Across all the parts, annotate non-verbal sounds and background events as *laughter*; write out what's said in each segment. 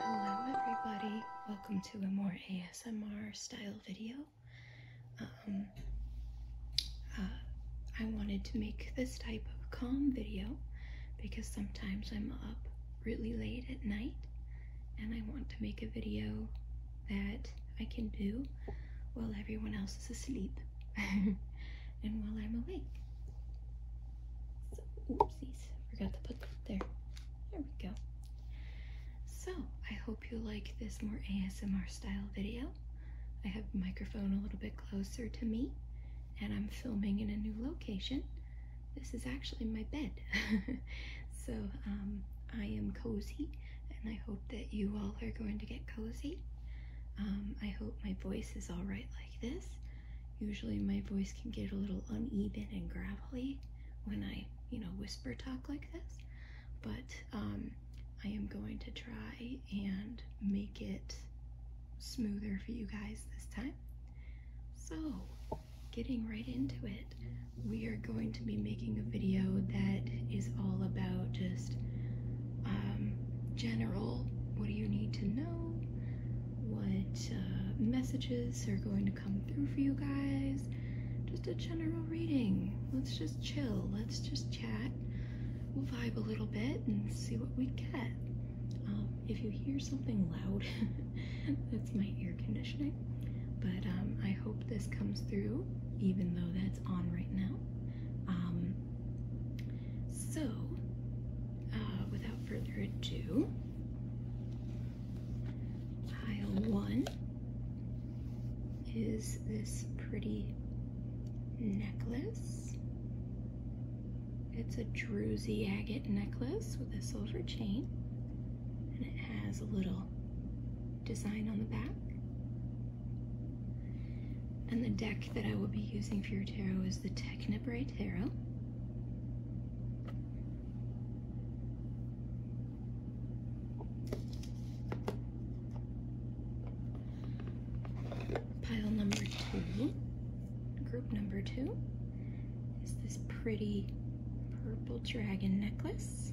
Hello everybody, welcome to a more ASMR style video. Um, uh, I wanted to make this type of calm video because sometimes I'm up really late at night and I want to make a video that I can do while everyone else is asleep. *laughs* and while I'm awake. So, oopsies, forgot to put that there. There we go. So, I hope you like this more ASMR style video. I have microphone a little bit closer to me and I'm filming in a new location. This is actually my bed. *laughs* so, um, I am cozy and I hope that you all are going to get cozy. Um, I hope my voice is alright like this. Usually my voice can get a little uneven and gravelly when I, you know, whisper talk like this, but um, I am going to try and make it smoother for you guys this time. So, getting right into it, we are going to be making a video that is all about just um, general what do you need to know, what uh, messages are going to come through for you guys, just a general reading. Let's just chill, let's just chat, we'll vibe a little bit and see what we get. Um, if you hear something loud, *laughs* that's my air conditioning. But um, I hope this comes through, even though that's on right now. So, uh, without further ado, pile one is this pretty necklace. It's a druzy agate necklace with a silver chain, and it has a little design on the back. And the deck that I will be using for your tarot is the Technibrae Tarot. Pile number two, group number two, is this pretty purple dragon necklace.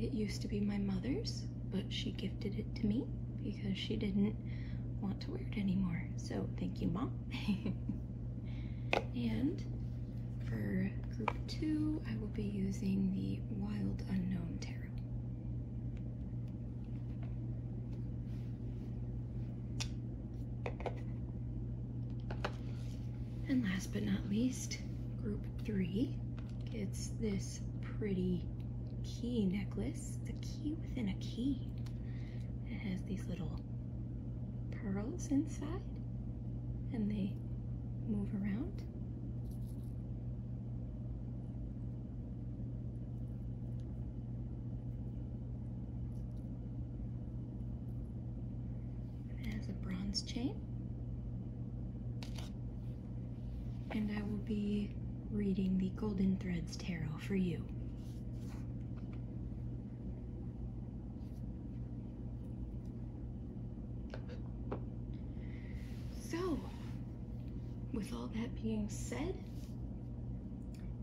It used to be my mother's, but she gifted it to me because she didn't want to wear it anymore. So thank you, Mom. *laughs* and for group two, I will be using the Wild Unknown Tarot. And last but not least, group three gets this pretty key necklace. The key within a key. It has these little pearls inside and they move around. It has a bronze chain and I will be reading the Golden Threads Tarot for you. So, with all that being said,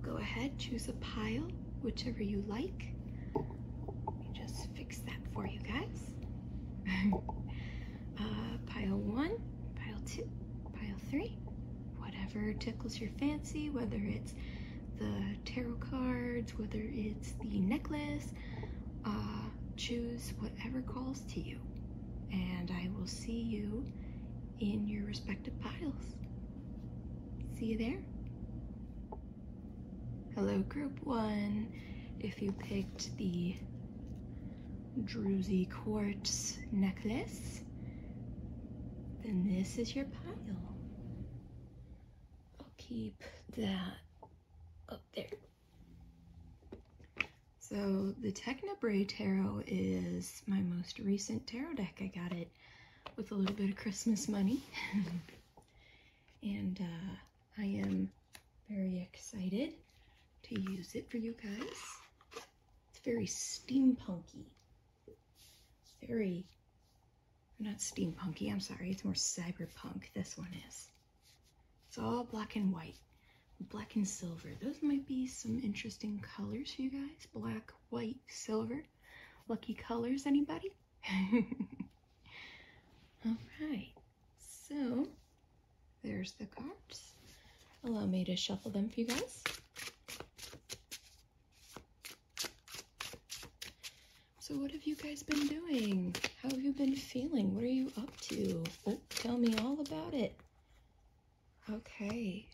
go ahead, choose a pile, whichever you like. Let me just fix that for you guys. *laughs* Uh, pile one, pile two, pile three, whatever tickles your fancy, whether it's the tarot cards, whether it's the necklace, uh, choose whatever calls to you. And I will see you in your respective piles. See you there. Hello, group one. If you picked the druzy quartz necklace, then this is your pile. i keep that up there. So the Technobray Tarot is my most recent tarot deck. I got it with a little bit of Christmas money. *laughs* and uh, I am very excited to use it for you guys. It's very steampunky. very, not steampunky, I'm sorry, it's more cyberpunk, this one is. It's all black and white, black and silver. Those might be some interesting colors for you guys. Black, white, silver. Lucky colors, anybody? *laughs* all right, so there's the cards. Allow me to shuffle them for you guys. So what have you guys been doing? How have you been feeling? What are you up to? Oh, tell me all about it. Okay.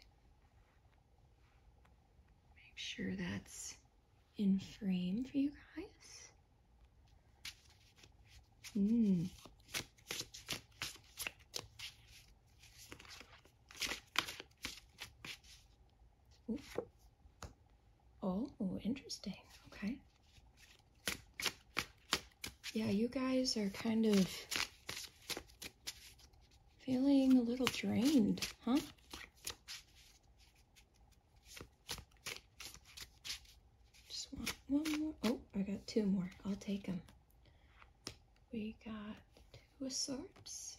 Make sure that's in frame for you guys. Mm. Ooh. Oh, interesting. Okay. Yeah, you guys are kind of feeling a little drained, huh? Just want one more. Oh, I got two more. I'll take them. We got two swords.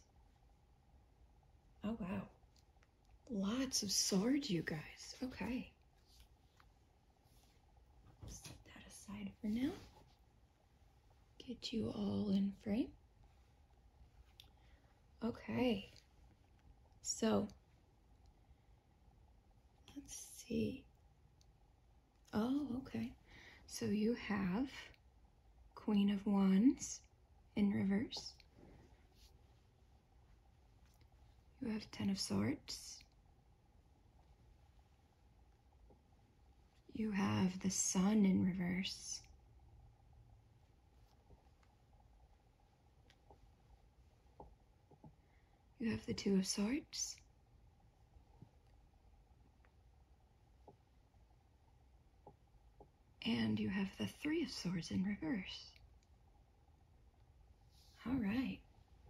Oh, wow. Lots of swords, you guys. Okay. Set that aside for now. Get you all in frame. Okay. So, let's see. Oh, okay. So you have Queen of Wands in reverse. You have Ten of Swords. You have the Sun in reverse. You have the Two of Swords. And you have the Three of Swords in reverse. All right.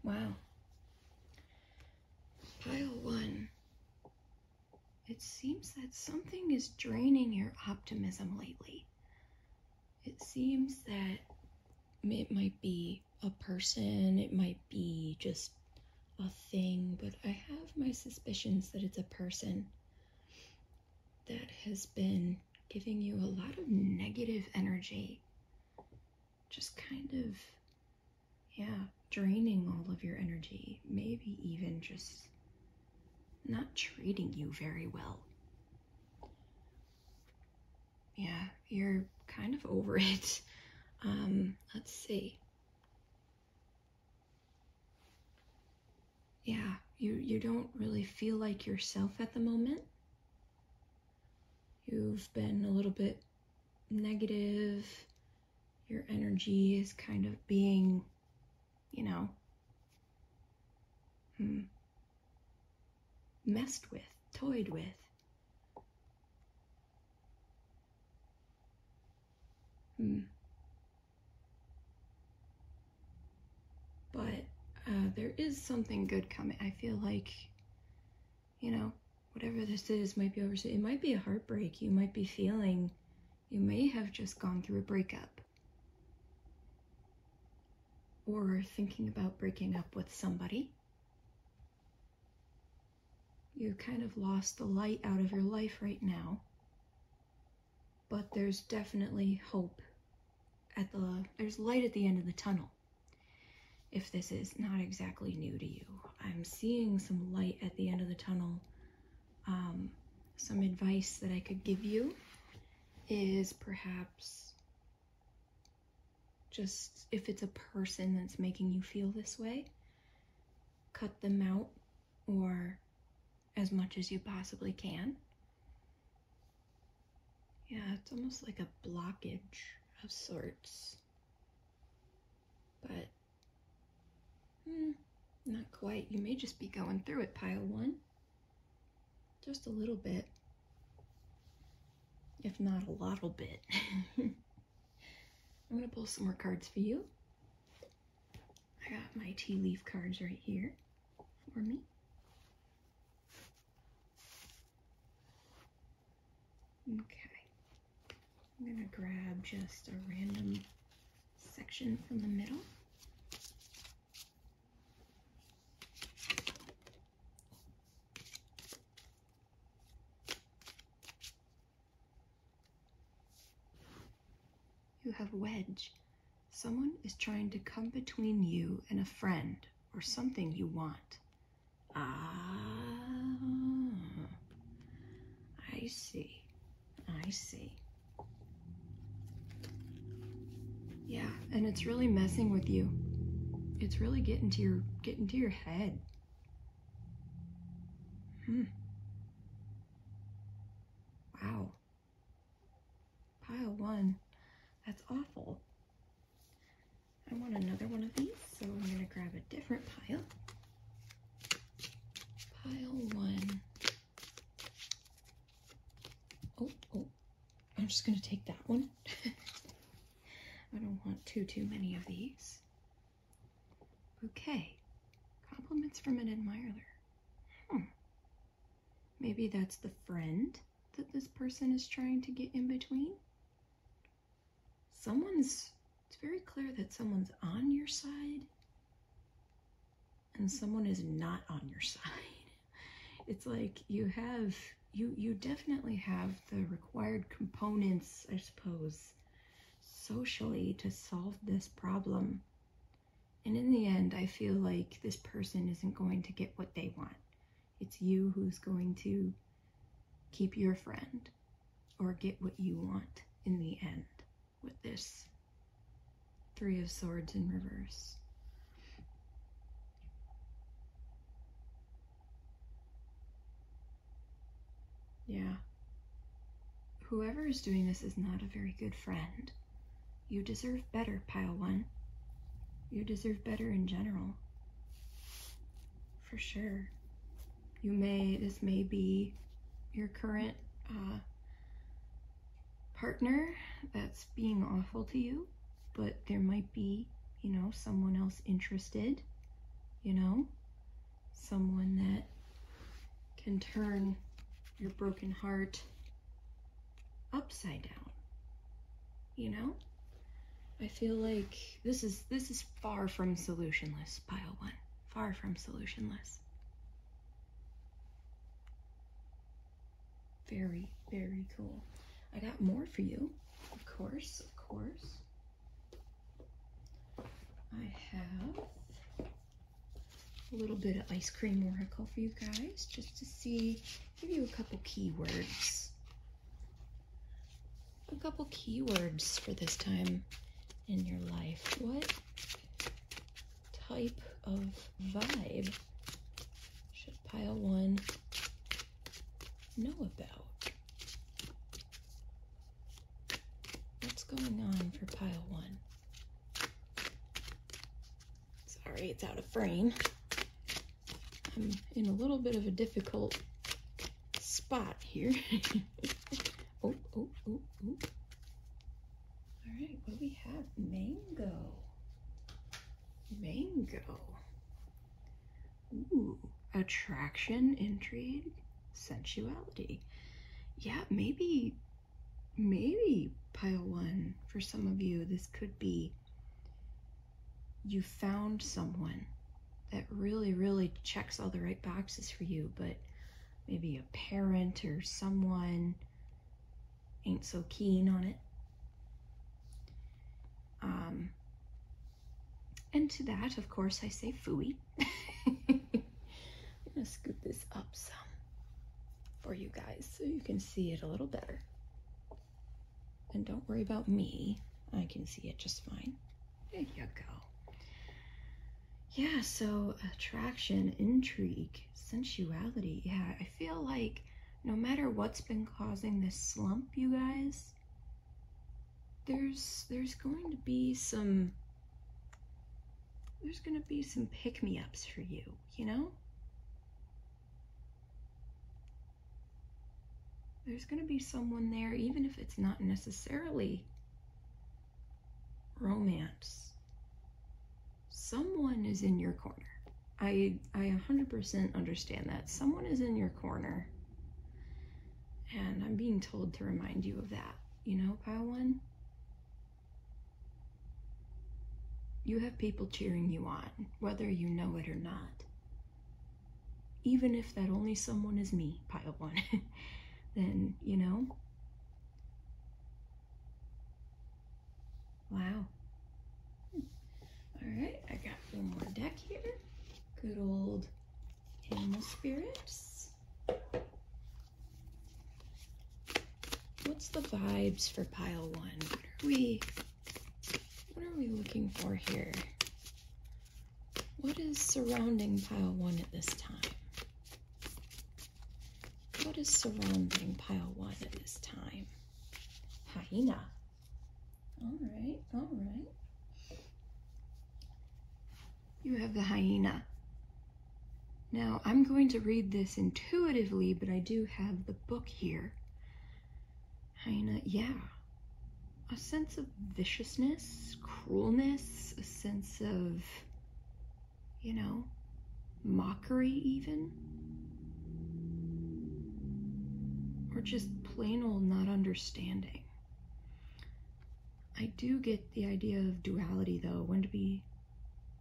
Wow. Pile one. It seems that something is draining your optimism lately. It seems that it might be a person, it might be just a thing, but I have my suspicions that it's a person that has been giving you a lot of negative energy. Just kind of, yeah, draining all of your energy. Maybe even just not treating you very well. Yeah, you're kind of over *laughs* it. Um, let's see. Yeah, you, you don't really feel like yourself at the moment. You've been a little bit negative. Your energy is kind of being, you know, hmm, messed with, toyed with. Hmm. But uh, there is something good coming. I feel like, you know, whatever this is might be over It might be a heartbreak. You might be feeling, you may have just gone through a breakup. Or thinking about breaking up with somebody. You've kind of lost the light out of your life right now, but there's definitely hope at the, there's light at the end of the tunnel. If this is not exactly new to you, I'm seeing some light at the end of the tunnel. Um, some advice that I could give you is perhaps just if it's a person that's making you feel this way, cut them out or as much as you possibly can. Yeah, it's almost like a blockage of sorts. But, hmm, not quite. You may just be going through it, pile one. Just a little bit. If not a lot, little bit. *laughs* I'm going to pull some more cards for you. I got my tea leaf cards right here for me. Okay. I'm going to grab just a random section from the middle. You have wedge. Someone is trying to come between you and a friend or something you want. Ah, I see. I see. Yeah, and it's really messing with you. It's really getting to your getting to your head. Hmm. Wow. Pile one. That's awful. I want another one of these, so I'm going to grab a different pile. Pile one. Oh, oh. I'm just going to take that one. *laughs* I don't want too, too many of these. Okay, Compliments from an admirer. Hmm. Maybe that's the friend that this person is trying to get in between. Someone's, it's very clear that someone's on your side and someone is not on your *laughs* side. It's like you have, you, you definitely have the required components, I suppose, socially to solve this problem. And in the end, I feel like this person isn't going to get what they want. It's you who's going to keep your friend or get what you want in the end with this Three of Swords in reverse. Yeah. Whoever is doing this is not a very good friend. You deserve better, Pile One. You deserve better in general. For sure. You may, this may be your current uh, partner that's being awful to you, but there might be, you know, someone else interested, you know? someone that can turn your broken heart upside down. You know? I feel like this is this is far from solutionless, pile one. Far from solutionless. Very, very cool. I got more for you, of course, of course. I have a little bit of ice cream oracle for you guys just to see, give you a couple keywords. A couple keywords for this time in your life. What type of vibe should pile one know about? What's going on for pile one? Sorry, it's out of frame. I'm in a little bit of a difficult spot here. *laughs* oh, oh, oh, oh. All right, what do we have? Mango. Mango. Ooh, attraction, intrigue, sensuality. Yeah, maybe, maybe pile one for some of you, this could be you found someone that really, really checks all the right boxes for you, but maybe a parent or someone ain't so keen on it. Um, and to that, of course, I say fooey. *laughs* I'm gonna scoop this up some for you guys so you can see it a little better. And don't worry about me, I can see it just fine. There you go. Yeah, so attraction, intrigue, sensuality. Yeah, I feel like no matter what's been causing this slump, you guys, there's there's going to be some there's going to be some pick-me-ups for you, you know? There's going to be someone there, even if it's not necessarily romance. Someone is in your corner. I, I 100% understand that. Someone is in your corner and I'm being told to remind you of that, you know, pile one? You have people cheering you on, whether you know it or not. Even if that only someone is me, pile one, *laughs* then, you know? Wow. All right, I got one more deck here. Good old animal spirits. What's the vibes for pile one? What are we what are we looking for here? What is surrounding pile one at this time? What is surrounding pile one at this time? Hyena. All right, all right you have the hyena. Now, I'm going to read this intuitively, but I do have the book here. Hyena, yeah. A sense of viciousness, cruelness, a sense of, you know, mockery even. Or just plain old not understanding. I do get the idea of duality though, when to be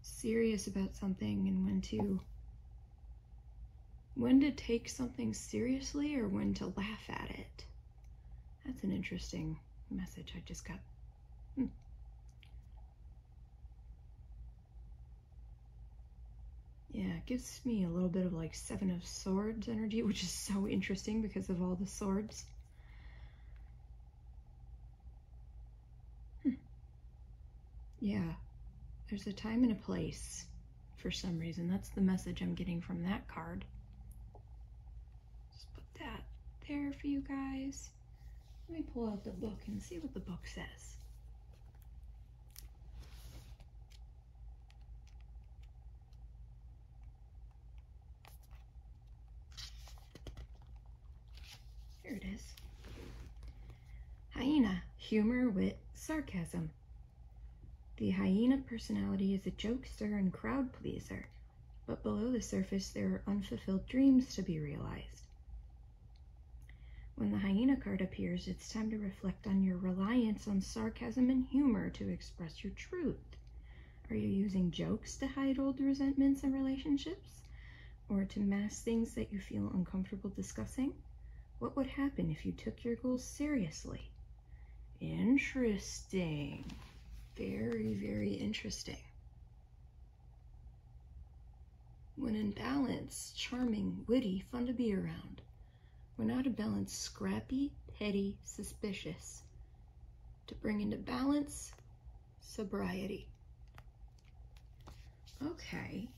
serious about something and when to when to take something seriously or when to laugh at it. That's an interesting message I just got. Hmm. Yeah, it gives me a little bit of like Seven of Swords energy, *laughs* which is so interesting because of all the swords. Hmm. Yeah, there's a time and a place for some reason. That's the message I'm getting from that card. Just put that there for you guys. Let me pull out the book and see what the book says. Here it is. Hyena, humor, wit, sarcasm. The hyena personality is a jokester and crowd pleaser, but below the surface there are unfulfilled dreams to be realized. When the hyena card appears, it's time to reflect on your reliance on sarcasm and humor to express your truth. Are you using jokes to hide old resentments and relationships? Or to mask things that you feel uncomfortable discussing? What would happen if you took your goals seriously? Interesting. Very, very interesting. When in balance, charming, witty, fun to be around. When out of balance, scrappy, petty, suspicious to bring into balance sobriety. Okay,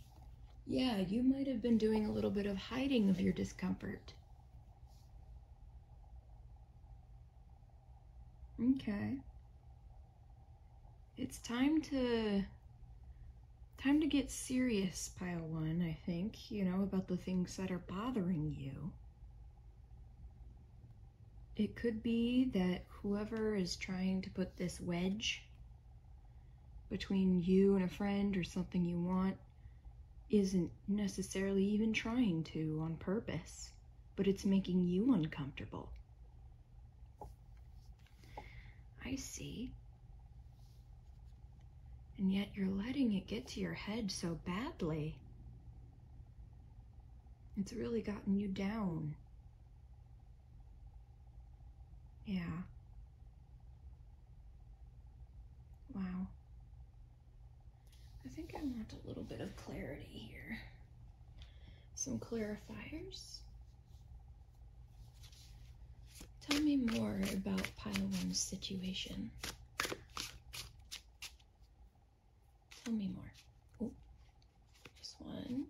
yeah, you might have been doing a little bit of hiding of your discomfort. Okay. It's time to time to get serious, pile one, I think, you know, about the things that are bothering you. It could be that whoever is trying to put this wedge between you and a friend or something you want isn't necessarily even trying to on purpose, but it's making you uncomfortable. I see. And yet you're letting it get to your head so badly. It's really gotten you down. Yeah. Wow. I think I want a little bit of clarity here. Some clarifiers. Tell me more about pile one's situation. Tell me more. Oh, just one.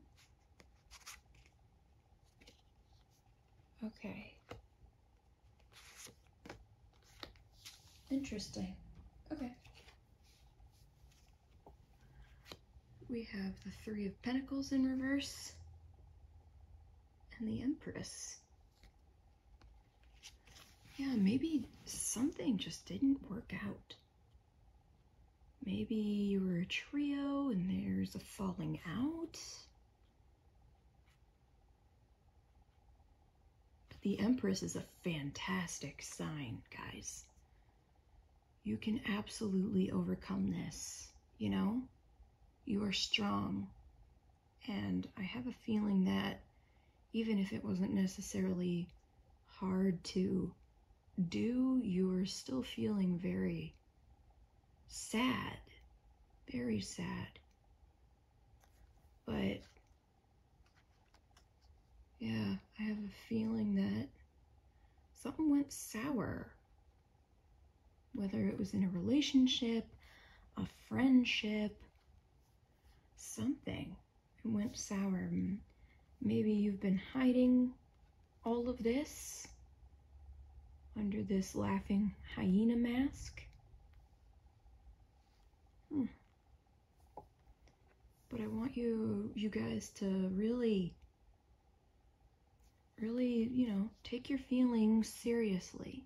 Okay. Interesting. Okay. We have the Three of Pentacles in reverse and the Empress. Yeah, maybe something just didn't work out. Maybe you were a trio and there's a falling out. the Empress is a fantastic sign, guys. You can absolutely overcome this, you know? You are strong. And I have a feeling that even if it wasn't necessarily hard to do, you're still feeling very sad, very sad. But yeah, I have a feeling that something went sour. Whether it was in a relationship, a friendship, something went sour. Mm, maybe you've been hiding all of this under this laughing hyena mask. Hmm. But I want you, you guys to really, really, you know, take your feelings seriously.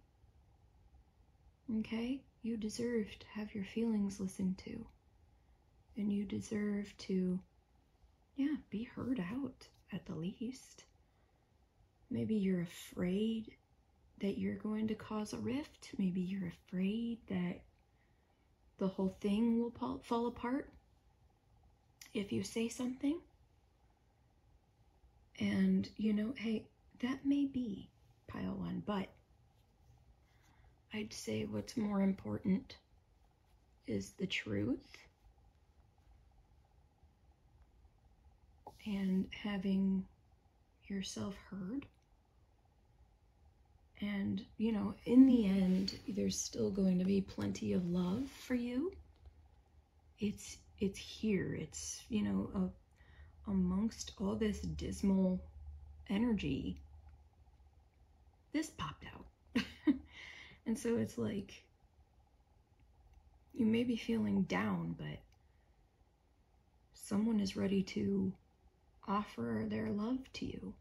Okay? you deserve to have your feelings listened to. And you deserve to, yeah, be heard out at the least. Maybe you're afraid that you're going to cause a rift. Maybe you're afraid that the whole thing will fall apart if you say something. And, you know, hey, that may be pile one, but I'd say what's more important is the truth and having yourself heard. And, you know, in the end, there's still going to be plenty of love for you. It's it's here. It's, you know, amongst all this dismal energy this popped out. *laughs* and so it's like, you may be feeling down, but someone is ready to offer their love to you.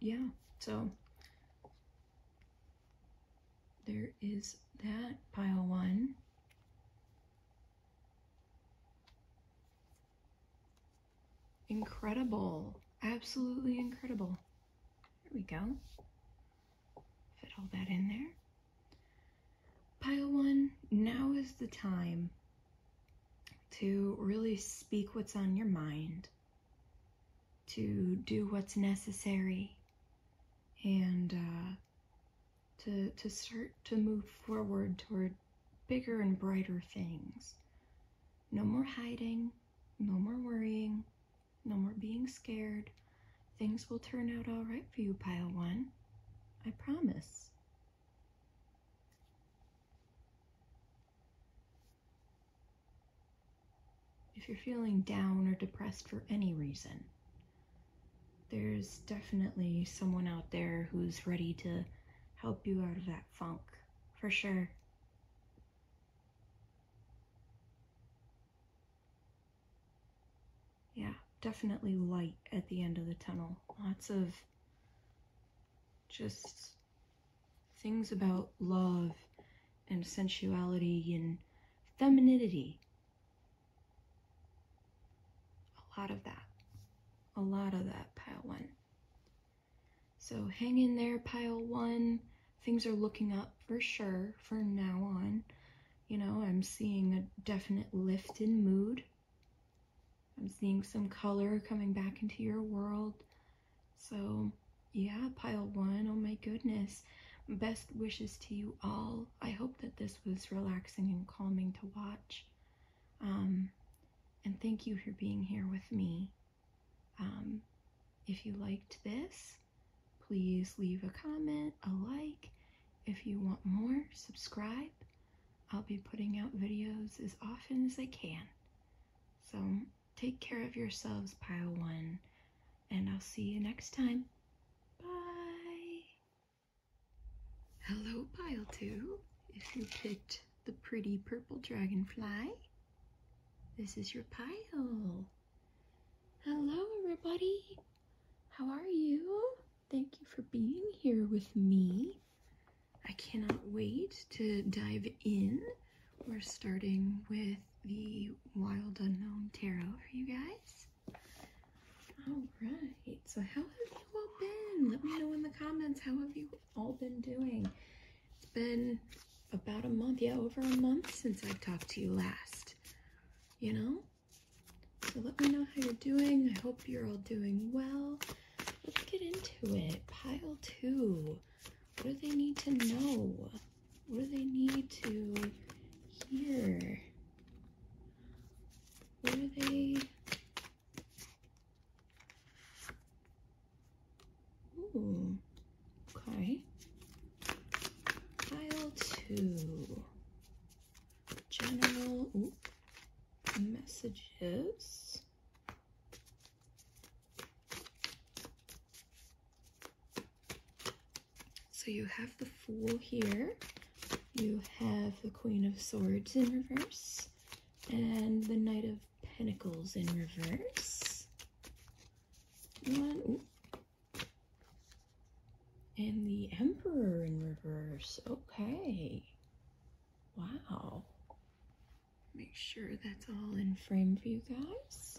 Yeah, so there is that pile one. Incredible. Absolutely incredible. There we go. Fit all that in there. Pile one, now is the time to really speak what's on your mind, to do what's necessary, and uh, to to start to move forward toward bigger and brighter things. No more hiding, no more worrying, no more being scared. Things will turn out all right for you, pile 1. I promise. If you're feeling down or depressed for any reason, there's definitely someone out there who's ready to help you out of that funk, for sure. Yeah, definitely light at the end of the tunnel. Lots of just things about love and sensuality and femininity a lot of that. A lot of that, pile one. So hang in there, pile one. Things are looking up for sure from now on. You know, I'm seeing a definite lift in mood. I'm seeing some color coming back into your world. So, yeah, pile one, oh my goodness. Best wishes to you all. I hope that this was relaxing and calming to watch. Um, and thank you for being here with me. Um, if you liked this, please leave a comment, a like. If you want more, subscribe. I'll be putting out videos as often as I can. So take care of yourselves, Pile 1, and I'll see you next time. Bye! Hello, pile two. If you picked the pretty purple dragonfly, this is your pile. Hello, everybody. How are you? Thank you for being here with me. I cannot wait to dive in. We're starting with the Wild Unknown Tarot for you guys. All right. So how have you all been? Let me know in the comments. How have you all been doing? It's been about a month, yeah, over a month since I've talked to you last, you know? So let me know how you're doing. I hope you're all doing well. Let's get into it. Pile two. What do they need to know? What do they need to hear? What are they Ooh, okay. Pile two. General messages. So you have the Fool here. You have the Queen of Swords in reverse and the Knight of Pentacles in reverse. One, And the Emperor in reverse. Okay. Wow. Make sure that's all in frame for you guys.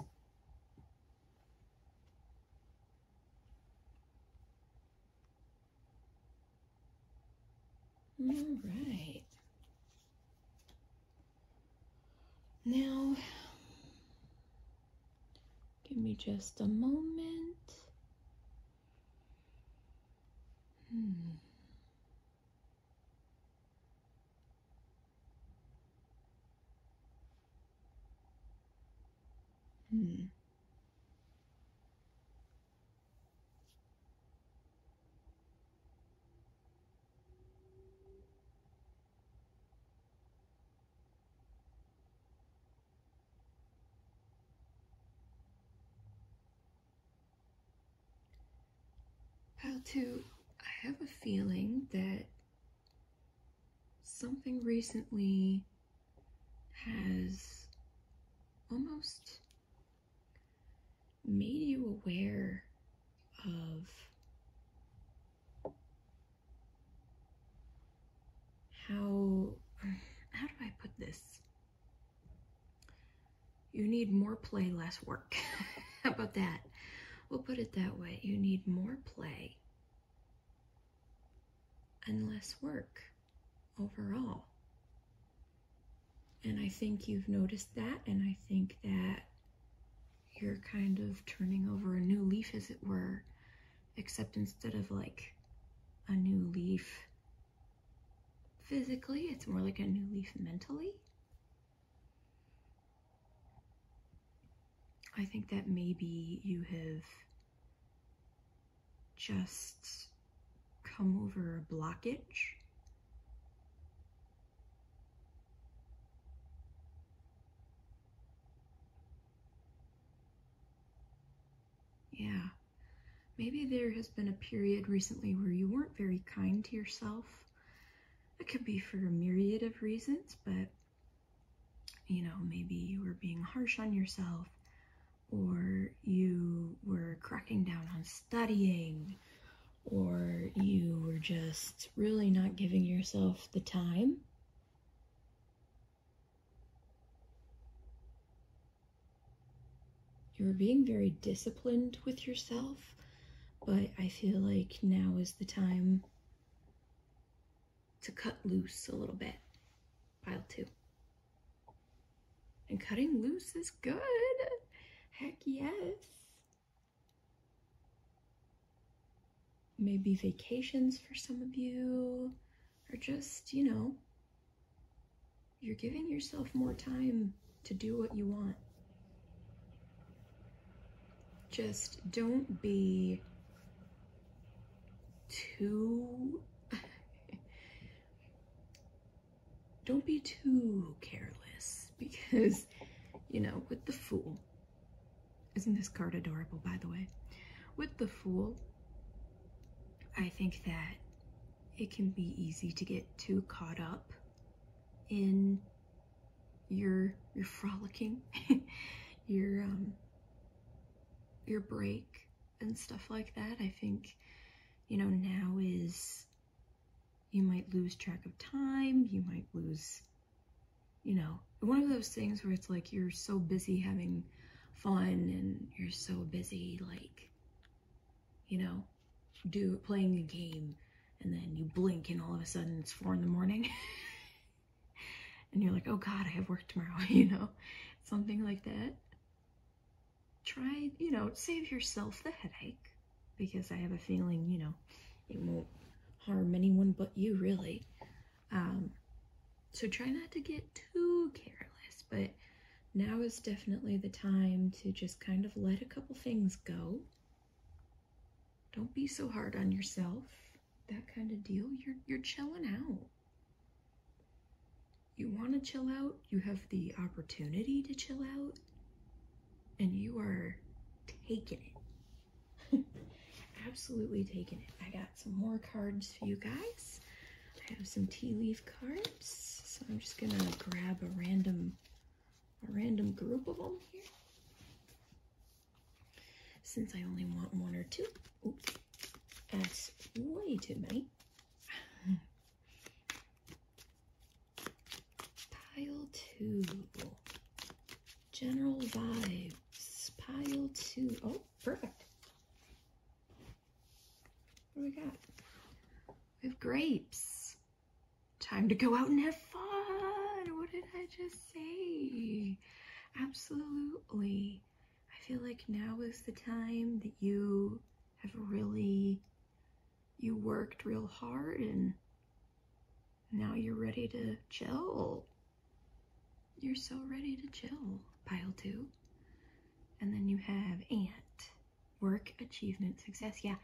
All right. Now, give me just a moment. Hmm. Hmm. Pile 2, I have a feeling that something recently has almost made you aware of how how do I put this? You need more play, less work. *laughs* how about that? We'll put it that way. You need more play and less work overall. And I think you've noticed that, and I think that you're kind of turning over a new leaf, as it were, except instead of like a new leaf physically, it's more like a new leaf mentally. I think that maybe you have just come over a blockage. Yeah, maybe there has been a period recently where you weren't very kind to yourself. That could be for a myriad of reasons, but you know, maybe you were being harsh on yourself or you were cracking down on studying, or you were just really not giving yourself the time. You were being very disciplined with yourself, but I feel like now is the time to cut loose a little bit. Pile two. And cutting loose is good. Heck yes. Maybe vacations for some of you, are just, you know, you're giving yourself more time to do what you want. Just don't be too *laughs* don't be too careless *laughs* because, you know, with the Fool, isn't this card adorable, by the way? With the Fool, I think that it can be easy to get too caught up in your your frolicking, *laughs* your um your break and stuff like that. I think you know, now is you might lose track of time, you might lose, you know, one of those things where it's like you're so busy having fun and you're so busy, like, you know, do playing a game and then you blink and all of a sudden it's four in the morning. *laughs* and you're like, oh God, I have work tomorrow, *laughs* you know, something like that try, you know, save yourself the headache because I have a feeling, you know, it won't harm anyone but you, really. Um, so try not to get too careless, but now is definitely the time to just kind of let a couple things go. Don't be so hard on yourself. That kind of deal. You're you're chilling out you want to chill out, you have the opportunity to chill out, and you are taking it. *laughs* Absolutely taking it. I got some more cards for you guys. I have some tea leaf cards, so I'm just gonna grab a random, a random group of them here. Since I only want one or two, oops, that's way too many. *laughs* Pile two. General vibes. Pile two. Oh, perfect. What do we got? We have grapes. Time to go out and have fun. What did I just say? Absolutely. I feel like now is the time that you have really you worked real hard and now you're ready to chill. You're so ready to chill, pile two. And then you have ant, work, achievement, success. Yeah,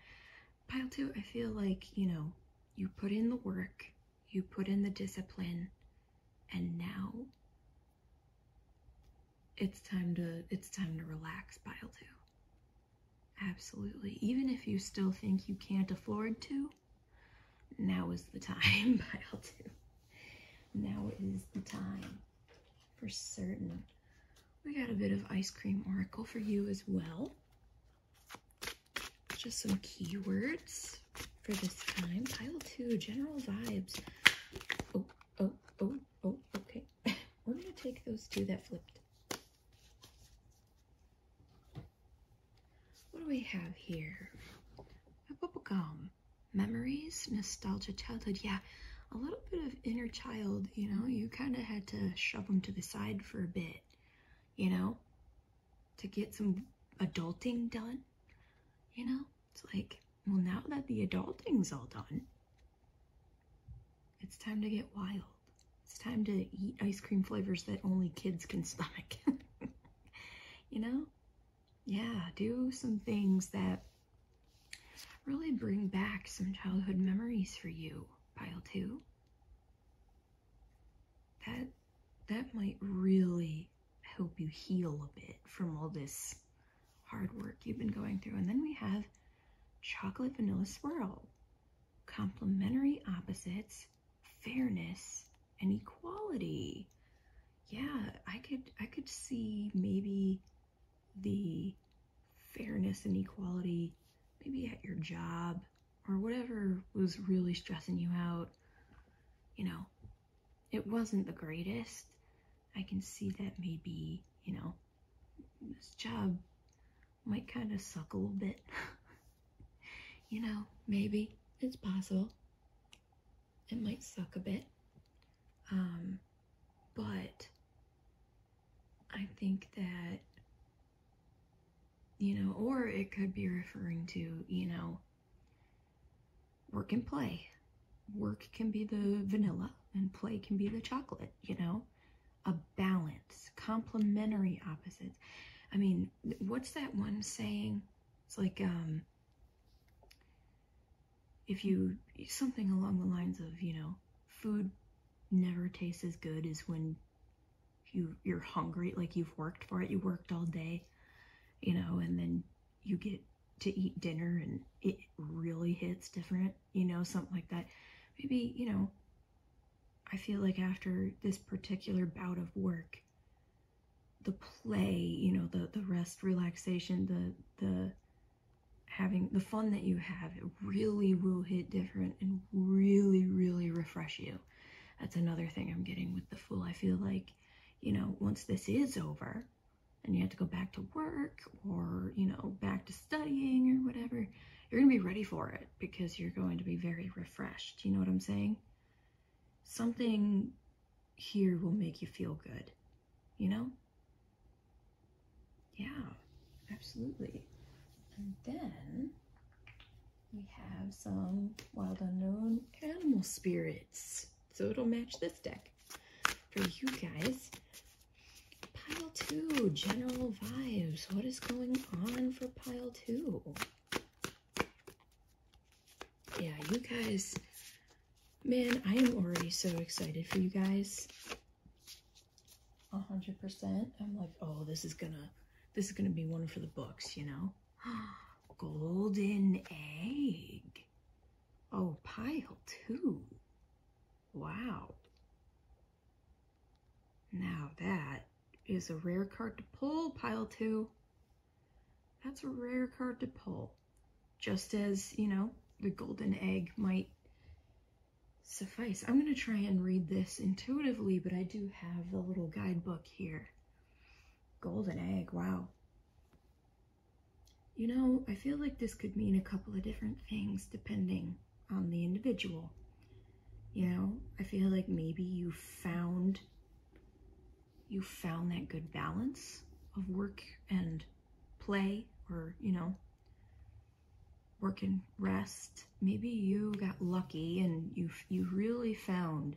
pile two, I feel like, you know, you put in the work, you put in the discipline, and now it's time to it's time to relax pile two. absolutely even if you still think you can't afford to now is the time pile *laughs* two. now is the time for certain we got a bit of ice cream oracle for you as well just some keywords for this time pile two general vibes oh oh oh oh okay *laughs* we're going to take those two that flipped. What do we have here? A bubble gum. Memories, nostalgia, childhood. Yeah, a little bit of inner child, you know? You kind of had to shove them to the side for a bit, you know? To get some adulting done, you know? It's like, well, now that the adulting's all done, it's time to get wild. It's time to eat ice cream flavors that only kids can stomach. *laughs* you know? Yeah, do some things that really bring back some childhood memories for you, pile 2. That that might really help you heal a bit from all this hard work you've been going through. And then we have chocolate vanilla swirl, complementary opposites, fairness, and equality. Yeah, I could I could see maybe the fairness and equality maybe at your job or whatever was really stressing you out. You know, it wasn't the greatest. I can see that maybe, you know, this job might kind of suck a little bit. *laughs* you know, maybe it's possible. It might suck a bit. Um, but I think that, you know, or it could be referring to, you know, work and play. Work can be the vanilla and play can be the chocolate, you know? a balance, complementary opposites. I mean, what's that one saying? It's like, um, if you, something along the lines of, you know, food never tastes as good as when you, you're hungry, like you've worked for it, you worked all day, you know, and then you get to eat dinner and it really hits different you know, something like that. Maybe, you know, I feel like after this particular bout of work, the play, you know, the, the rest, relaxation, the, the having the fun that you have, it really will hit different and really, really refresh you. That's another thing I'm getting with the full. I feel like, you know, once this is over and you have to go back to work or, you know, back to studying or whatever, you're going to be ready for it because you're going to be very refreshed. You know what I'm saying? Something here will make you feel good, you know? Yeah, absolutely. And then we have some Wild Unknown Animal Spirits. So it'll match this deck for you guys. Pile two, general vibes. What is going on for pile two? Yeah, you guys, man, I am already so excited for you guys. 100%. I'm like, oh, this is gonna, this is gonna be one for the books, you know? *gasps* Golden egg. Oh, pile two. Wow. Now that is a rare card to pull, pile two. That's a rare card to pull. Just as, you know, the golden egg might suffice. I'm going to try and read this intuitively, but I do have the little guidebook here. Golden egg, wow. You know, I feel like this could mean a couple of different things depending on the individual. You know, I feel like maybe you found you found that good balance of work and play or, you know, work and rest. Maybe you got lucky and you you really found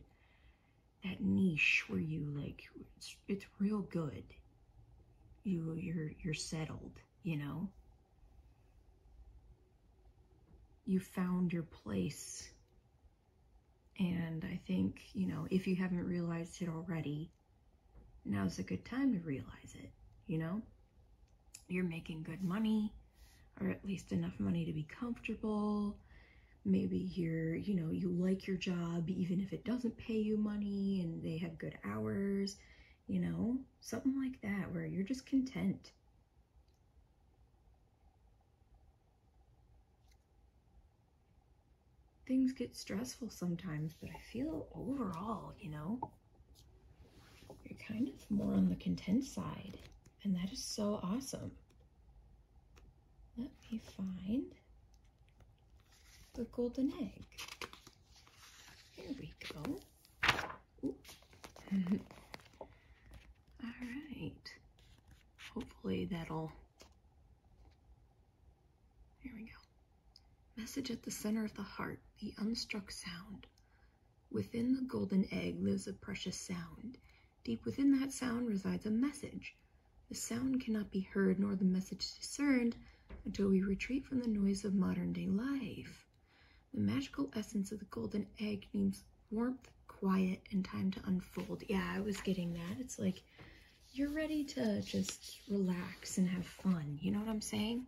that niche where you like it's, it's real good. You you're you're settled you know? You found your place. And I think, you know, if you haven't realized it already, now's a good time to realize it, you know? You're making good money, or at least enough money to be comfortable. Maybe you're, you know, you like your job even if it doesn't pay you money and they have good hours you know, something like that where you're just content. Things get stressful sometimes, but I feel overall, you know, you're kind of more on the content side, and that is so awesome. Let me find the golden egg. Here we go. All right. Hopefully that'll, here we go. Message at the center of the heart, the unstruck sound. Within the golden egg lives a precious sound. Deep within that sound resides a message. The sound cannot be heard nor the message discerned until we retreat from the noise of modern day life. The magical essence of the golden egg means warmth, quiet, and time to unfold. Yeah, I was getting that. It's like you're ready to just relax and have fun. You know what I'm saying?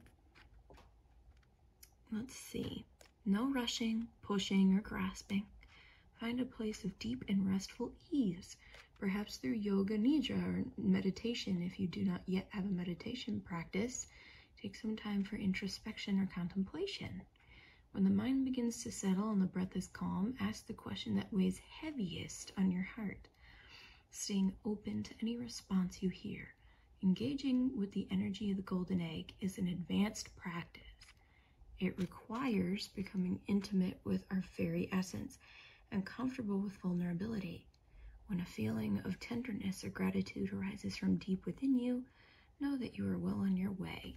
Let's see. No rushing, pushing, or grasping. Find a place of deep and restful ease, perhaps through yoga nidra or meditation if you do not yet have a meditation practice. Take some time for introspection or contemplation. When the mind begins to settle and the breath is calm, ask the question that weighs heaviest on your heart, staying open to any response you hear. Engaging with the energy of the golden egg is an advanced practice. It requires becoming intimate with our fairy essence and comfortable with vulnerability. When a feeling of tenderness or gratitude arises from deep within you, know that you are well on your way.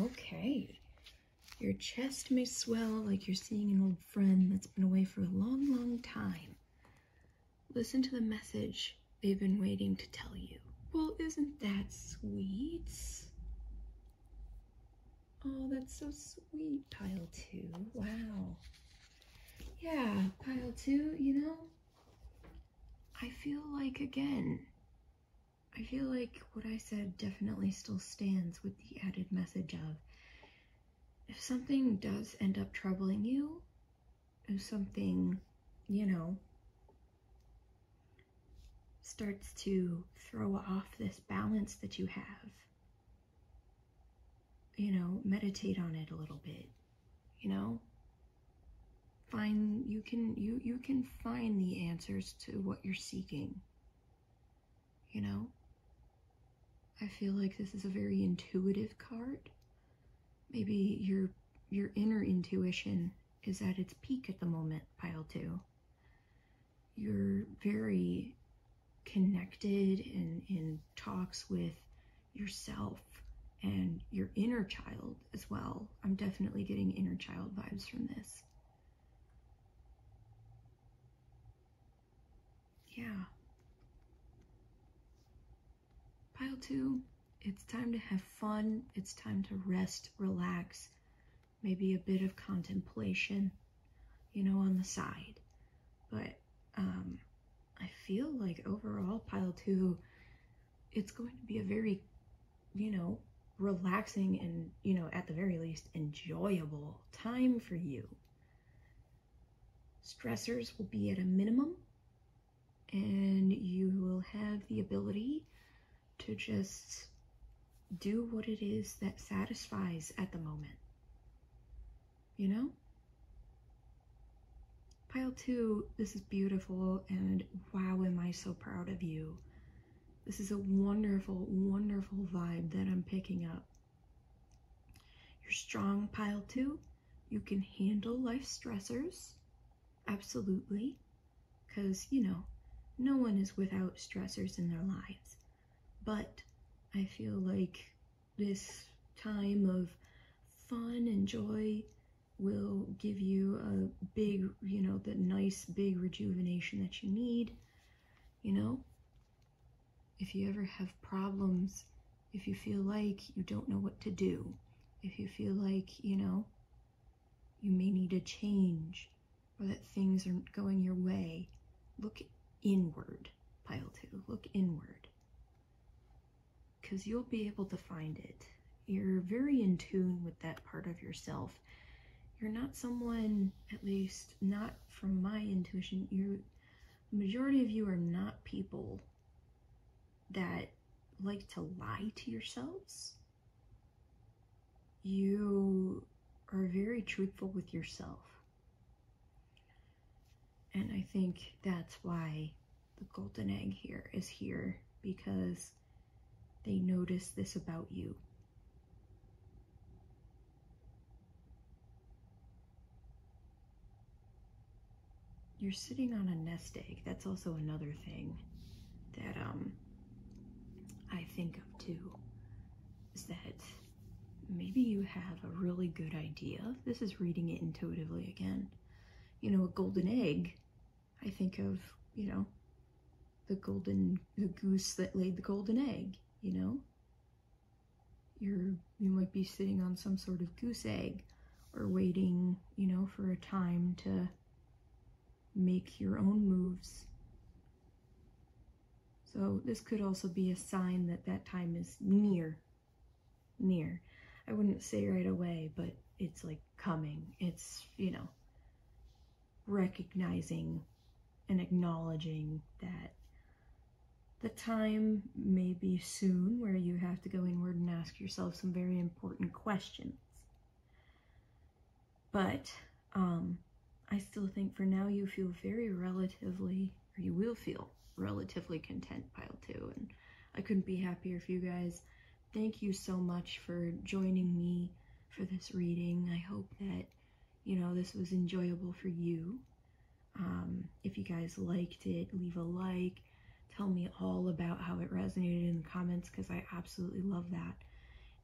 Okay. Your chest may swell like you're seeing an old friend that's been away for a long, long time. Listen to the message they've been waiting to tell you. Well, isn't that sweet? Oh, that's so sweet, pile two. Wow yeah, pile two, you know? I feel like, again, I feel like what I said definitely still stands with the added message of if something does end up troubling you, if something, you know, starts to throw off this balance that you have, you know, meditate on it a little bit, you know? Find you can you you can find the answers to what you're seeking. You know? I feel like this is a very intuitive card. Maybe your your inner intuition is at its peak at the moment, pile 2. You're very connected and in talks with yourself and your inner child as well. I'm definitely getting inner child vibes from this. Yeah. Pile two, it's time to have fun. It's time to rest, relax, maybe a bit of contemplation, you know, on the side. But um, I feel like overall pile two, it's going to be a very, you know, relaxing and, you know, at the very least, enjoyable time for you. Stressors will be at a minimum, and you will have the ability to just do what it is that satisfies at the moment you know? Pile two, this is beautiful and wow, am I so proud of you. This is a wonderful, wonderful vibe that I'm picking up. You're strong, pile two. You can handle life stressors, absolutely, because, you know, no one is without stressors in their lives. But I feel like this time of fun and joy will give you a big, you know, the nice big rejuvenation that you need, you know? If you ever have problems, if you feel like you don't know what to do, if you feel like, you know, you may need a change or that things aren't going your way, look inward, pile two, look inward because you'll be able to find it. You're very in tune with that part of yourself. You're not someone, at least not from my intuition, you the majority of you are not people that like to lie to yourselves. You are very truthful with yourself. And I think that's why the golden egg here is here because they notice this about you. You're sitting on a nest egg. That's also another thing that um, I think of too, is that maybe you have a really good idea. This is reading it intuitively again you know, a golden egg, I think of, you know, the golden, the goose that laid the golden egg, you know? You're, you might be sitting on some sort of goose egg or waiting, you know, for a time to make your own moves. So this could also be a sign that that time is near near. I wouldn't say right away, but it's like coming. It's, you know, recognizing and acknowledging that the time may be soon where you have to go inward and ask yourself some very important questions. But um, I still think for now you feel very relatively you will feel relatively content pile two. And I couldn't be happier for you guys. Thank you so much for joining me for this reading. I hope that, you know, this was enjoyable for you. Um, if you guys liked it, leave a like. Tell me all about how it resonated in the comments because I absolutely love that.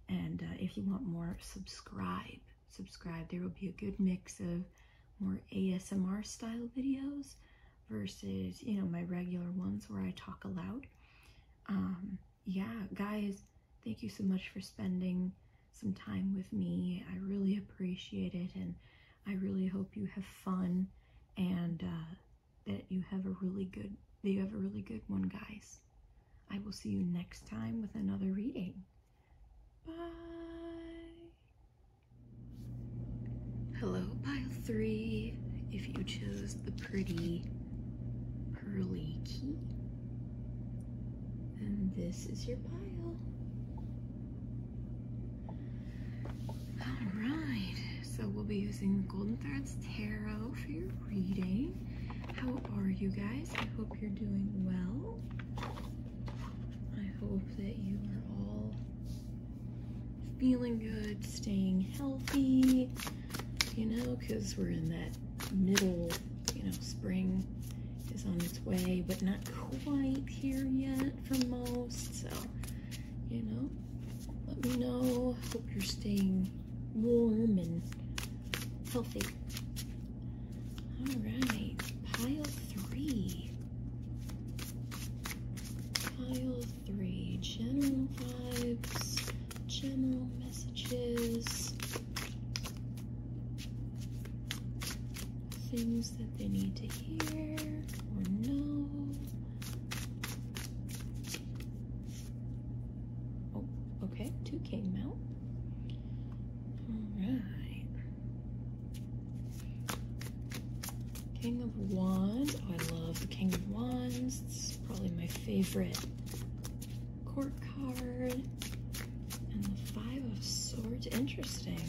And uh, if you want more, subscribe. Subscribe. There will be a good mix of more ASMR style videos versus, you know, my regular ones where I talk aloud. Um, yeah, guys, thank you so much for spending some time with me. I really appreciate it and I really hope you have fun and uh, that you have a really good that you have a really good one, guys. I will see you next time with another reading. Bye. Hello, pile three. If you chose the pretty pearly key. And this is your pile. Alright, so we'll be using Golden Threads Tarot for your reading. How are you guys? I hope you're doing well. I hope that you are all feeling good, staying healthy, you know, because we're in that middle, you know, spring is on its way, but not quite here yet for most. So, you know, let me know. Hope you're staying warm and healthy. All right, pile three. File 3 General Vibes, General Messages, Things that they need to hear or know. Oh, okay, 2 came out. Alright. King of Wands. Oh, I love the King of Wands. It's probably my favorite court card. And the Five of Swords. Interesting.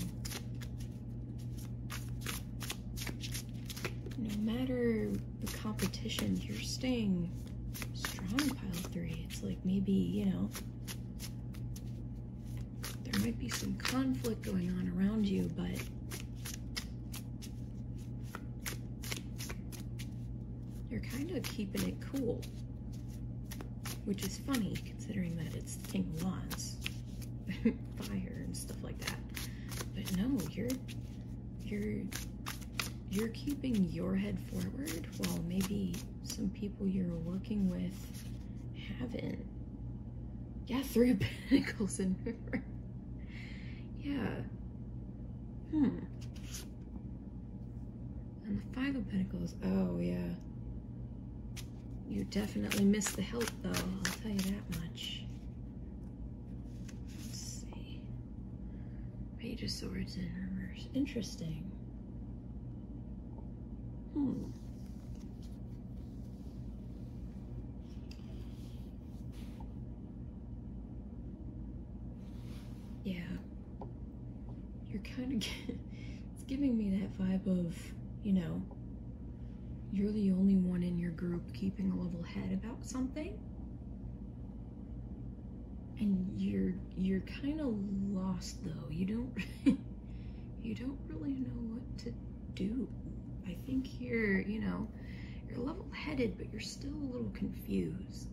No matter the competition, you're staying strong, pile three. It's like maybe, you know, there might be some conflict going on around you, but you're kind of keeping it cool, which is funny considering that it's King Wands, *laughs* fire and stuff like that. But no, you're you're you're keeping your head forward while maybe some people you're working with haven't. Yeah, Three of *laughs* Pentacles and River. yeah. Hmm. And the Five of Pentacles. Oh, yeah. You definitely missed the help, though. I'll tell you that much. Let's see. Page of Swords in reverse. Interesting. Hmm. Yeah. You're kind of *laughs* it's giving me that vibe of, you know, you're the only one in your group keeping a level head about something. And you're you're kind of lost though. You don't *laughs* you don't really know what to do. I think you're, you know, you're level-headed, but you're still a little confused.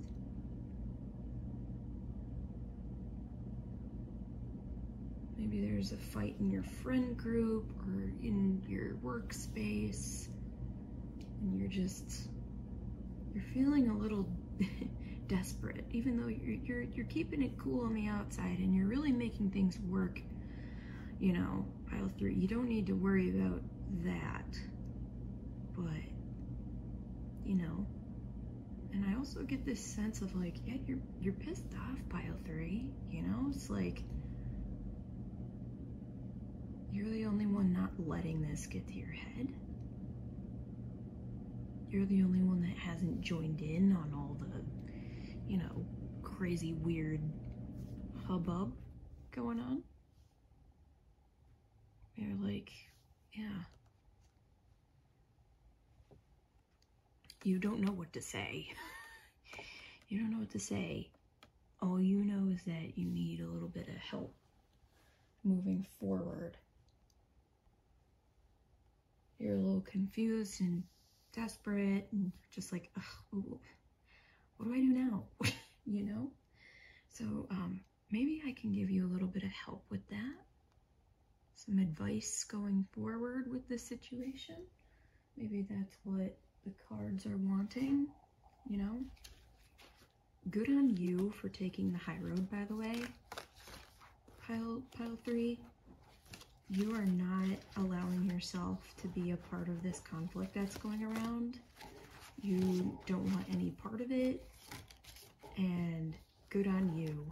Maybe there's a fight in your friend group or in your workspace, and you're just, you're feeling a little *laughs* desperate, even though you're, you're, you're keeping it cool on the outside and you're really making things work, you know, Pile three. You don't need to worry about that, but you know. And I also get this sense of like, yeah, you're you're pissed off, pile three. You know, it's like you're the only one not letting this get to your head. You're the only one that hasn't joined in on all the you know, crazy, weird hubbub going on. you are like, yeah. You don't know what to say. *laughs* you don't know what to say. All you know is that you need a little bit of help moving forward. You're a little confused and desperate and just like, ooh, what do I do now? *laughs* you know? So um, maybe I can give you a little bit of help with that. Some advice going forward with this situation. Maybe that's what the cards are wanting, you know? Good on you for taking the high road, by the way. Pile, pile three you are not allowing yourself to be a part of this conflict that's going around. You don't want any part of it. And good on you.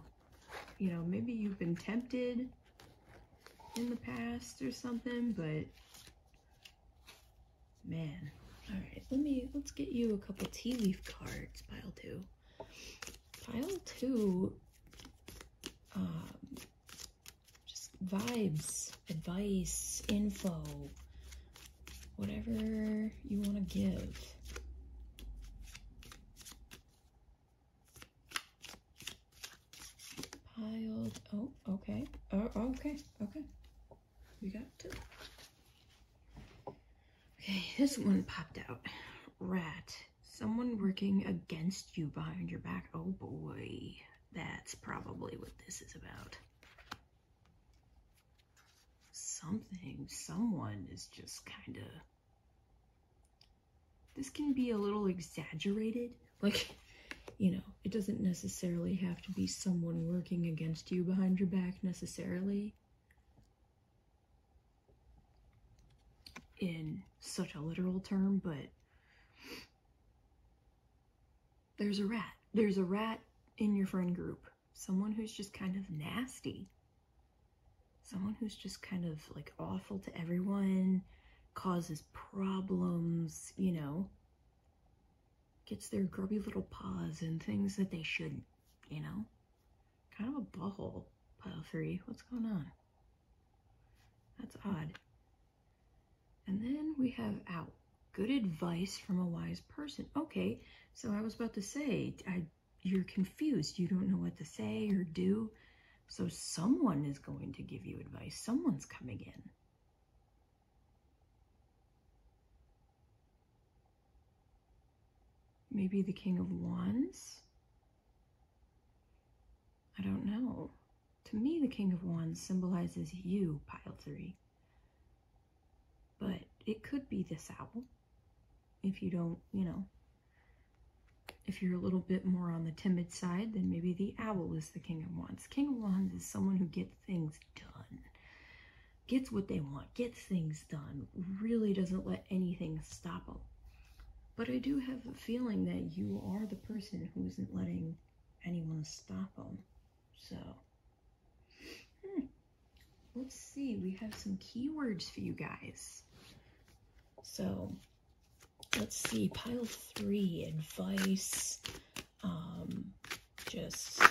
You know, maybe you've been tempted in the past or something, but man. All right, let me, let's get you a couple tea leaf cards, pile two. Pile two um, just vibes, advice, info, whatever you want to give. Piled. Oh, okay. Oh, okay. Okay. We got two. Okay, this one popped out. Rat. Someone working against you behind your back. Oh boy. That's probably what this is about. Something, someone is just kind of. This can be a little exaggerated. Like, you know, it doesn't necessarily have to be someone working against you behind your back necessarily. In such a literal term, but there's a rat. There's a rat in your friend group. Someone who's just kind of nasty. Someone who's just kind of like awful to everyone, causes problems, you know, gets their grubby little paws in things that they shouldn't, you know? Kind of a butthole, pile three. What's going on? That's odd. And then we have out. Good advice from a wise person. Okay, so I was about to say, I, you're confused. You don't know what to say or do. So someone is going to give you advice. Someone's coming in. Maybe the King of Wands. I don't know. To me, the King of Wands symbolizes you, pile three. But it could be this owl. If you don't, you know, if you're a little bit more on the timid side, then maybe the owl is the King of Wands. King of Wands is someone who gets things done, gets what they want, gets things done, really doesn't let anything stop them. But I do have a feeling that you are the person who isn't letting anyone stop them. So, hmm. let's see. We have some keywords for you guys. So, let's see. Pile three, advice. Um, just,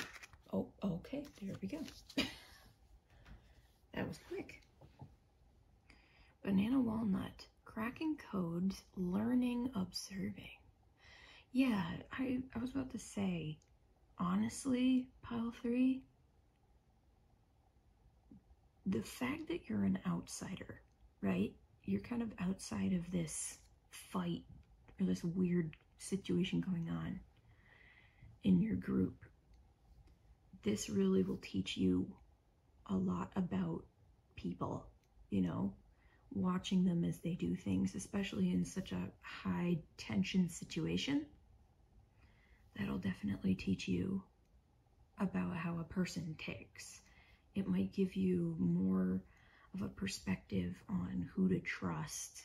oh, okay. There we go. *laughs* that was quick. Banana walnut. Cracking codes, learning, observing. Yeah, I, I was about to say, honestly, pile three, the fact that you're an outsider, right? You're kind of outside of this fight or this weird situation going on in your group. This really will teach you a lot about people you know, watching them as they do things, especially in such a high tension situation. That'll definitely teach you about how a person ticks. It might give you more of a perspective on who to trust,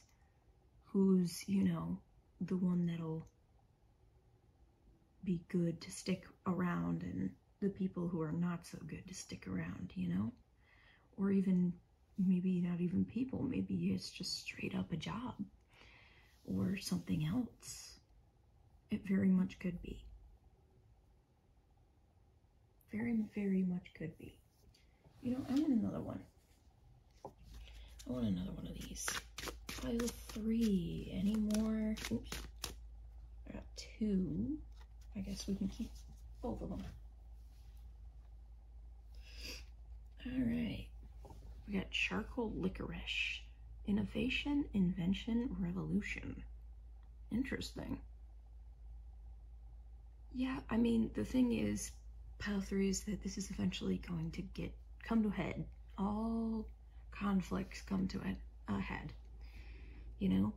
who's, you know, the one that'll be good to stick around and the people who are not so good to stick around, you know? Or even maybe not even people, maybe it's just straight up a job or something else. It very much could be. Very, very much could be. You know, I want another one. I want another one of these. I Pile three. Any more? I got two. I guess we can keep both of them. All right. We got charcoal licorice. Innovation, invention, revolution. Interesting. Yeah, I mean, the thing is, pile 3 is that this is eventually going to get come to a head. All conflicts come to a, head. You know?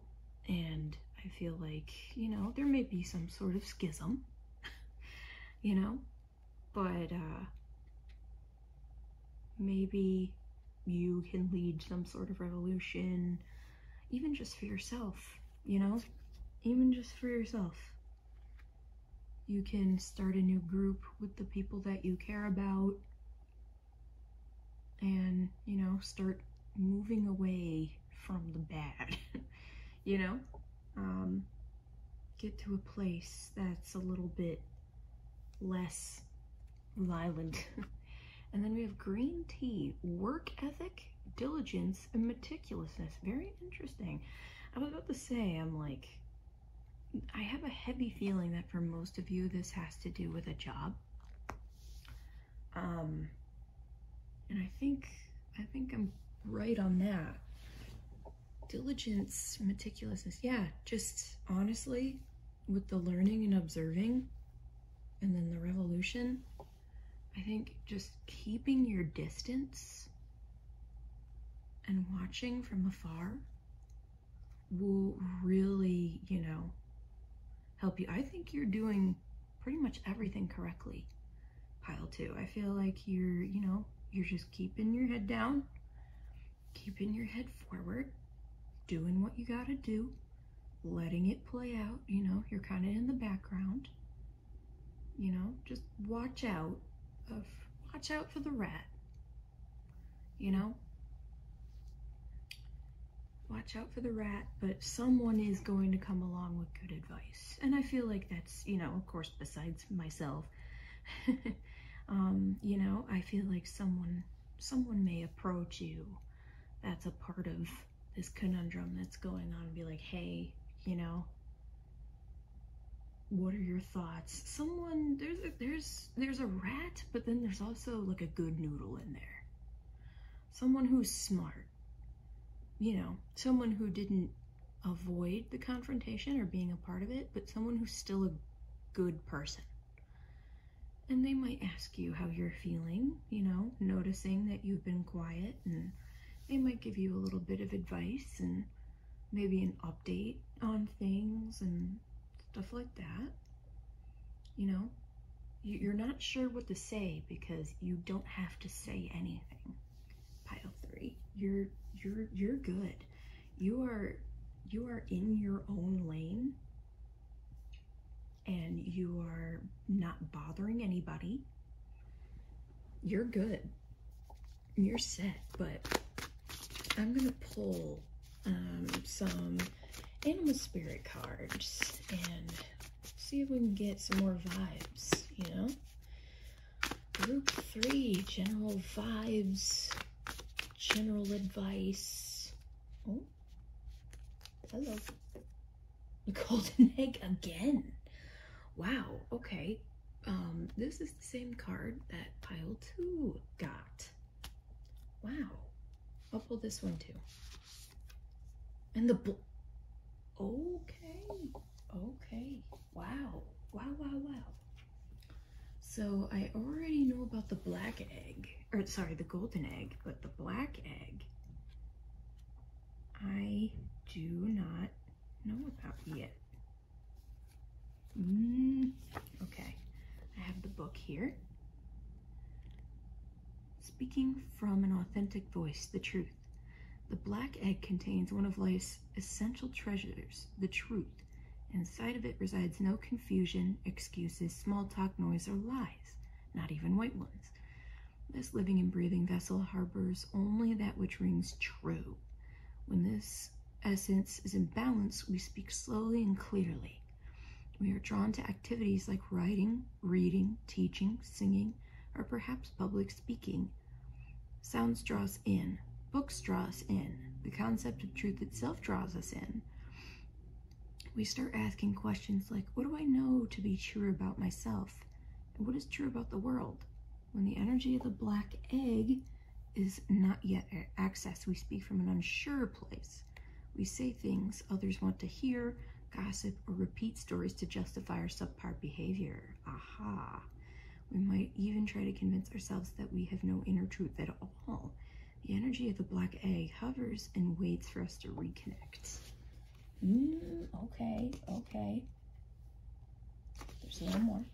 And I feel like, you know, there may be some sort of schism, *laughs* you know, but uh, maybe you can lead some sort of revolution, even just for yourself, you know, even just for yourself. You can start a new group with the people that you care about and you know start moving away from the bad *laughs* you know um, get to a place that's a little bit less violent *laughs* and then we have green tea work ethic diligence and meticulousness very interesting i was about to say i'm like i have a heavy feeling that for most of you this has to do with a job um, and I think, I think I'm right on that. Diligence, meticulousness. Yeah, just honestly, with the learning and observing and then the revolution, I think just keeping your distance and watching from afar will really, you know, help you. I think you're doing pretty much everything correctly. Pile two, I feel like you're, you know, you're just keeping your head down, keeping your head forward, doing what you gotta do, letting it play out. You know, you're kind of in the background. You know, just watch out of watch out for the rat. You know, watch out for the rat, but someone is going to come along with good advice. And I feel like that's, you know, of course, besides myself, *laughs* um, you know, I feel like someone, someone may approach you. That's a part of this conundrum that's going on and be like, hey, you know, what are your thoughts? Someone, there's a, there's, there's a rat, but then there's also like a good noodle in there someone who's smart, you know, someone who didn't avoid the confrontation or being a part of it, but someone who's still a good person. And they might ask you how you're feeling, you know, noticing that you've been quiet, and they might give you a little bit of advice and maybe an update on things and stuff like that. You know, you're not sure what to say because you don't have to say anything. Pile three, you're you're you're good. You are you are in your own lane, and you are not bothering anybody. You're good. You're set. But I'm gonna pull um, some animal spirit cards and see if we can get some more vibes, you know? Group three, general vibes, general advice. Oh, hello. *laughs* golden egg again. Wow, okay. Um, this is the same card that pile two got. Wow. I'll pull this one too. And the book. Okay. Okay. Wow. Wow, wow, wow. So I already know about the black egg. Or sorry, the golden egg, but the black egg. I do not know about yet. Mm, okay. I have the book here. Speaking from an authentic voice, the truth. The black egg contains one of life's essential treasures, the truth. Inside of it resides no confusion, excuses, small talk, noise, or lies, not even white ones. This living and breathing vessel harbors only that which rings true. When this essence is in balance, we speak slowly and clearly. We are drawn to activities like writing, reading, teaching, singing, or perhaps public speaking. Sounds draws us in. Books draw us in. The concept of truth itself draws us in. We start asking questions like, what do I know to be true about myself? And what is true about the world? When the energy of the black egg is not yet accessed, we speak from an unsure place. We say things others want to hear gossip, or repeat stories to justify our subpar behavior. Aha. We might even try to convince ourselves that we have no inner truth at all. The energy of the black egg hovers and waits for us to reconnect. Mm, okay, okay. There's a more.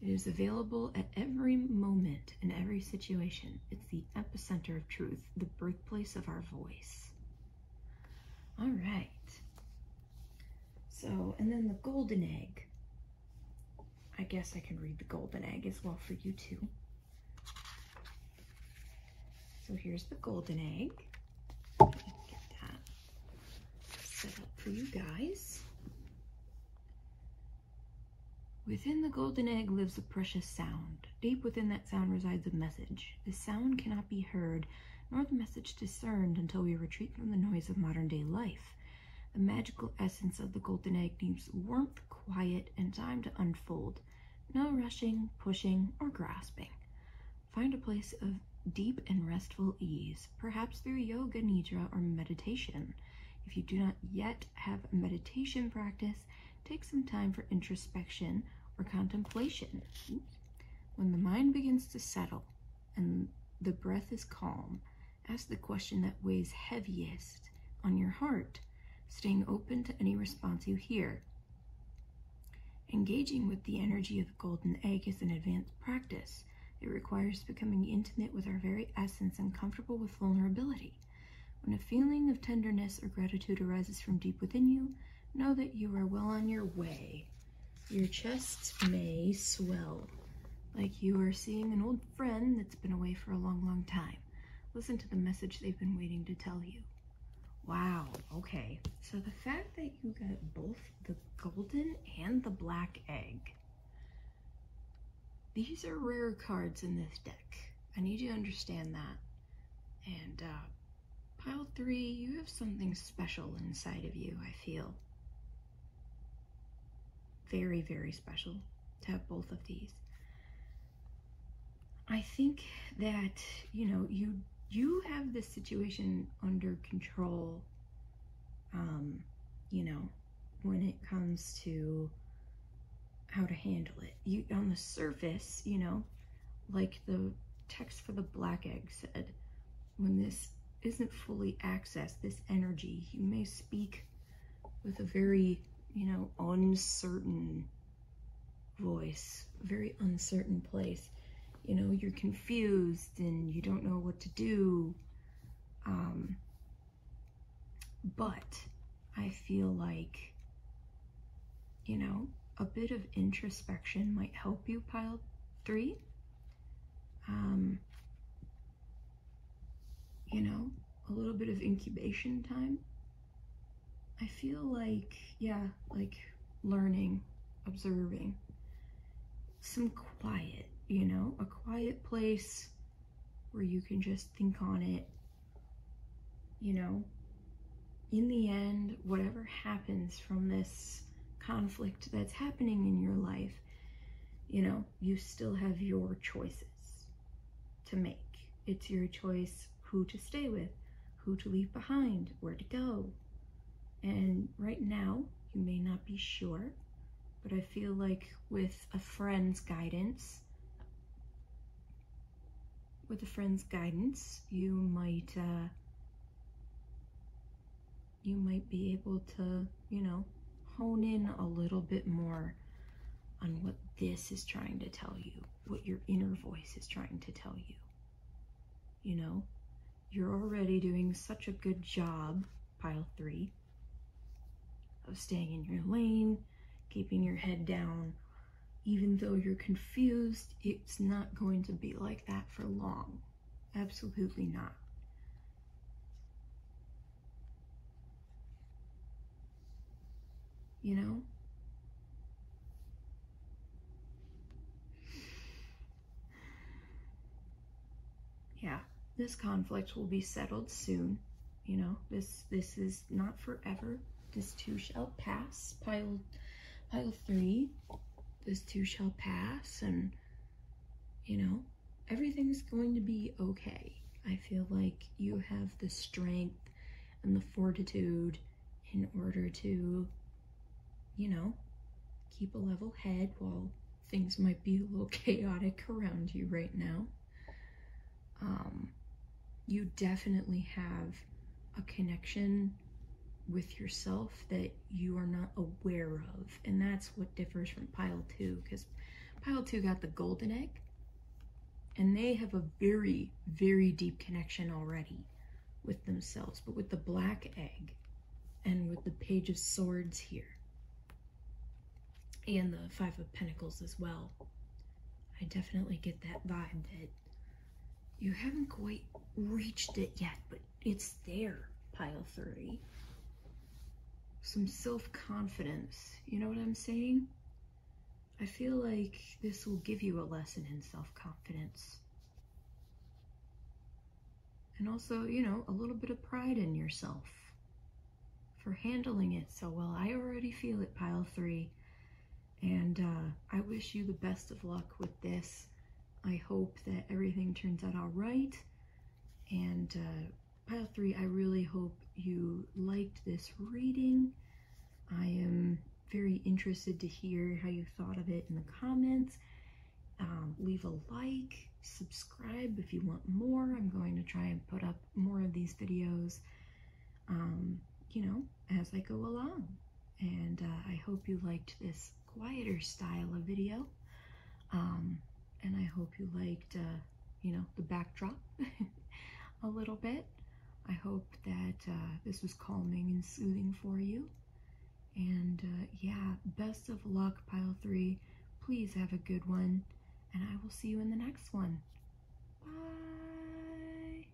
It is available at every moment in every situation. It's the epicenter of truth, the birthplace of our voice. All right. So, and then the golden egg. I guess I can read the golden egg as well for you too. So here's the golden egg. Get that set up for you guys. Within the golden egg lives a precious sound, Deep within that sound resides a message. The sound cannot be heard, nor the message discerned until we retreat from the noise of modern day life. The magical essence of the golden egg needs warmth, quiet, and time to unfold. No rushing, pushing, or grasping. Find a place of deep and restful ease, perhaps through yoga nidra or meditation. If you do not yet have a meditation practice, Take some time for introspection or contemplation. When the mind begins to settle and the breath is calm, ask the question that weighs heaviest on your heart, staying open to any response you hear. Engaging with the energy of the golden egg is an advanced practice. It requires becoming intimate with our very essence and comfortable with vulnerability. When a feeling of tenderness or gratitude arises from deep within you, Know that you are well on your way. Your chest may swell, like you are seeing an old friend that's been away for a long, long time. Listen to the message they've been waiting to tell you. Wow, okay. So the fact that you got both the golden and the black egg, these are rare cards in this deck. I need you to understand that. And uh, Pile three, you have something special inside of you, I feel. Very, very special to have both of these. I think that, you know, you you have this situation under control, um, you know, when it comes to how to handle it. You on the surface, you know, like the text for the black egg said, when this isn't fully accessed, this energy, you may speak with a very, you know, uncertain voice, very uncertain place. You know, you're confused and you don't know what to do. Um, but I feel like you know, a bit of introspection might help you, pile three. Um, you know, a little bit of incubation time. I feel like, yeah, like learning, observing, some quiet, you know, a quiet place where you can just think on it, you know, in the end, whatever happens from this conflict that's happening in your life, you know, you still have your choices to make. It's your choice who to stay with, who to leave behind, where to go. And right now, you may not be sure, but I feel like with a friend's guidance, with a friend's guidance, you might uh, you might be able to, you know, hone in a little bit more on what this is trying to tell you, what your inner voice is trying to tell you. You know, you're already doing such a good job, pile three, of staying in your lane, keeping your head down, even though you're confused, it's not going to be like that for long. Absolutely not. You know? Yeah, this conflict will be settled soon. You know, this this is not forever this two shall pass. Pile, pile three, this two shall pass. And, you know, everything's going to be okay. I feel like you have the strength and the fortitude in order to, you know, keep a level head while things might be a little *laughs* chaotic around you right now. Um, you definitely have a connection with yourself that you are not aware of. And that's what differs from pile two, because pile two got the golden egg, and they have a very, very deep connection already with themselves. But with the black egg and with the page of swords here, and the five of pentacles as well, I definitely get that vibe that you haven't quite reached it yet, but it's there, pile three. Some self-confidence, you know what I'm saying? I feel like this will give you a lesson in self-confidence. And also, you know, a little bit of pride in yourself for handling it so well. I already feel it, pile three. And uh, I wish you the best of luck with this. I hope that everything turns out all right. And uh, pile three, I really hope you liked this reading. I am very interested to hear how you thought of it in the comments. Um, leave a like, subscribe if you want more. I'm going to try and put up more of these videos. Um, you know, as I go along. And uh, I hope you liked this quieter style of video. Um, and I hope you liked, uh, you know, the backdrop *laughs* a little bit. I hope that uh, this was calming and soothing for you. And yeah, best of luck, Pile 3. Please have a good one. And I will see you in the next one. Bye.